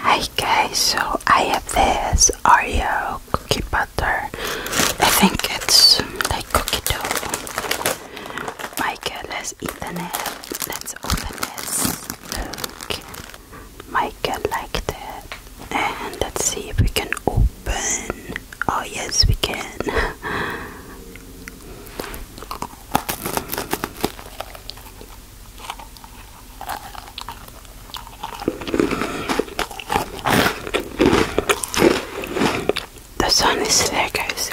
Hi guys, so I have this Oreo cookie butter. I think it's like cookie dough. Michael has eaten it. Let's open this. Look, Michael liked it. And let's see if we can open. Oh yes, we can. The sun is there, guys.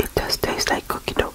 It does taste like cookie dough.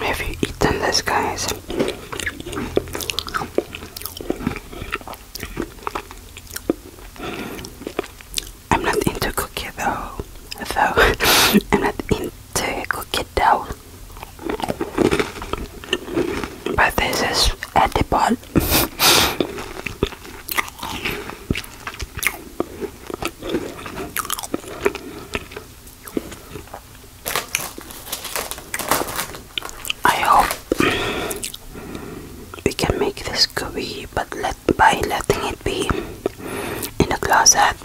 Have you eaten this, guys? I'm not into cookie though, though I'm not into cookie dough. But this is edible. I hope we can make this gooey, but let by letting it be in the closet.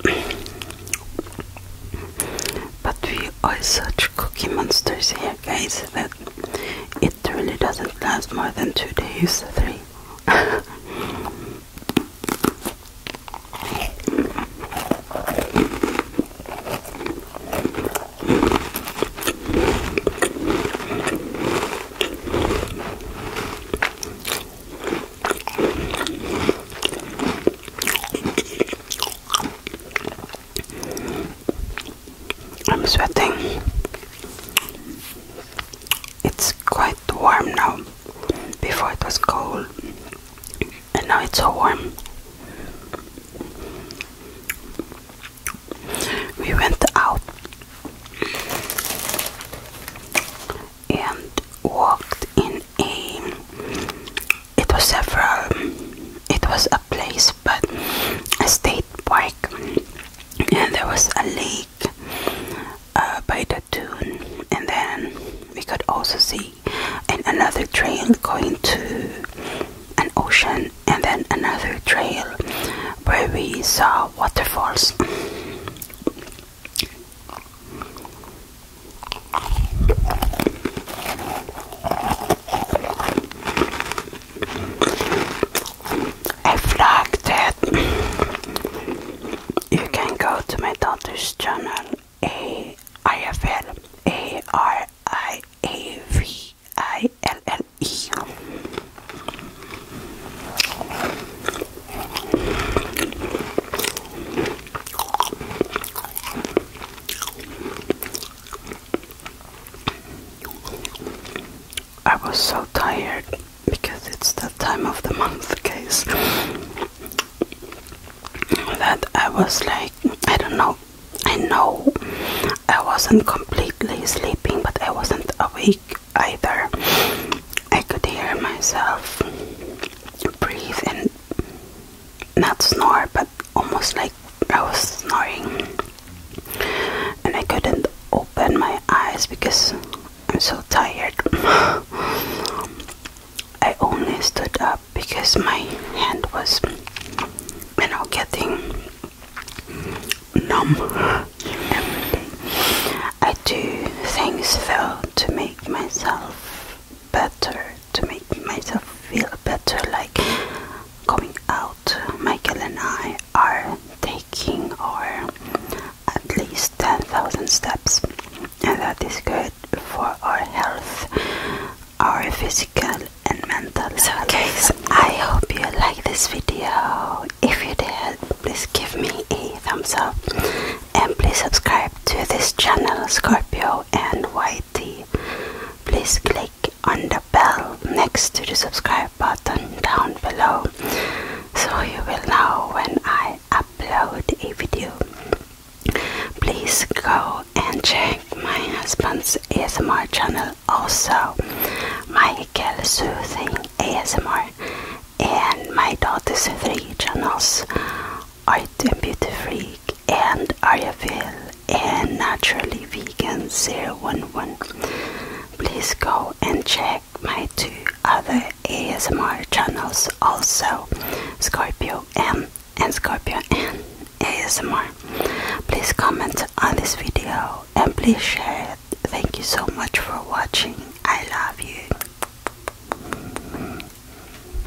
But we are such cookie monsters here, guys, it really doesn't last more than two days, three. I'm sweating. It's quite warm now. Before it was cold, and now it's so warm. We went out and walked in a. It was several it was a place but a state park and there was a lake uh, by the dune and then we could also see another trail going to an ocean and then another trail where we saw waterfalls a flag it. you can go to my daughter's channel A I F L A R I A V I L L E I was so tired because it's that time of the month, guys. That I was like, I don't know. I know I wasn't completely sleeping, but I wasn't awake either. I could hear myself breathe and not snore, but almost like I was snoring and I couldn't open my eyes because I'm so tired. I only stood up because my hand was, you know, getting numb I do things though to make myself better to make myself feel better like going out michael and i are taking our at least 10,000 steps and that is good for our health our physical and mental so guys i hope you like this video if you did please give me a thumbs up and please subscribe to this channel scorpio and yt please click on the bell next to the subscribe button down below so you will know when I upload a video. Please go and check my husband's ASMR channel also, Michael Soothing ASMR, and my daughter's three channels, Art and Beauty Freak and I Ayurveda and Naturally Vegan 011. Please go and check my two other ASMR channels also, Scorpio M and Scorpio N ASMR. Please comment on this video and please share it. Thank you so much for watching. I love you.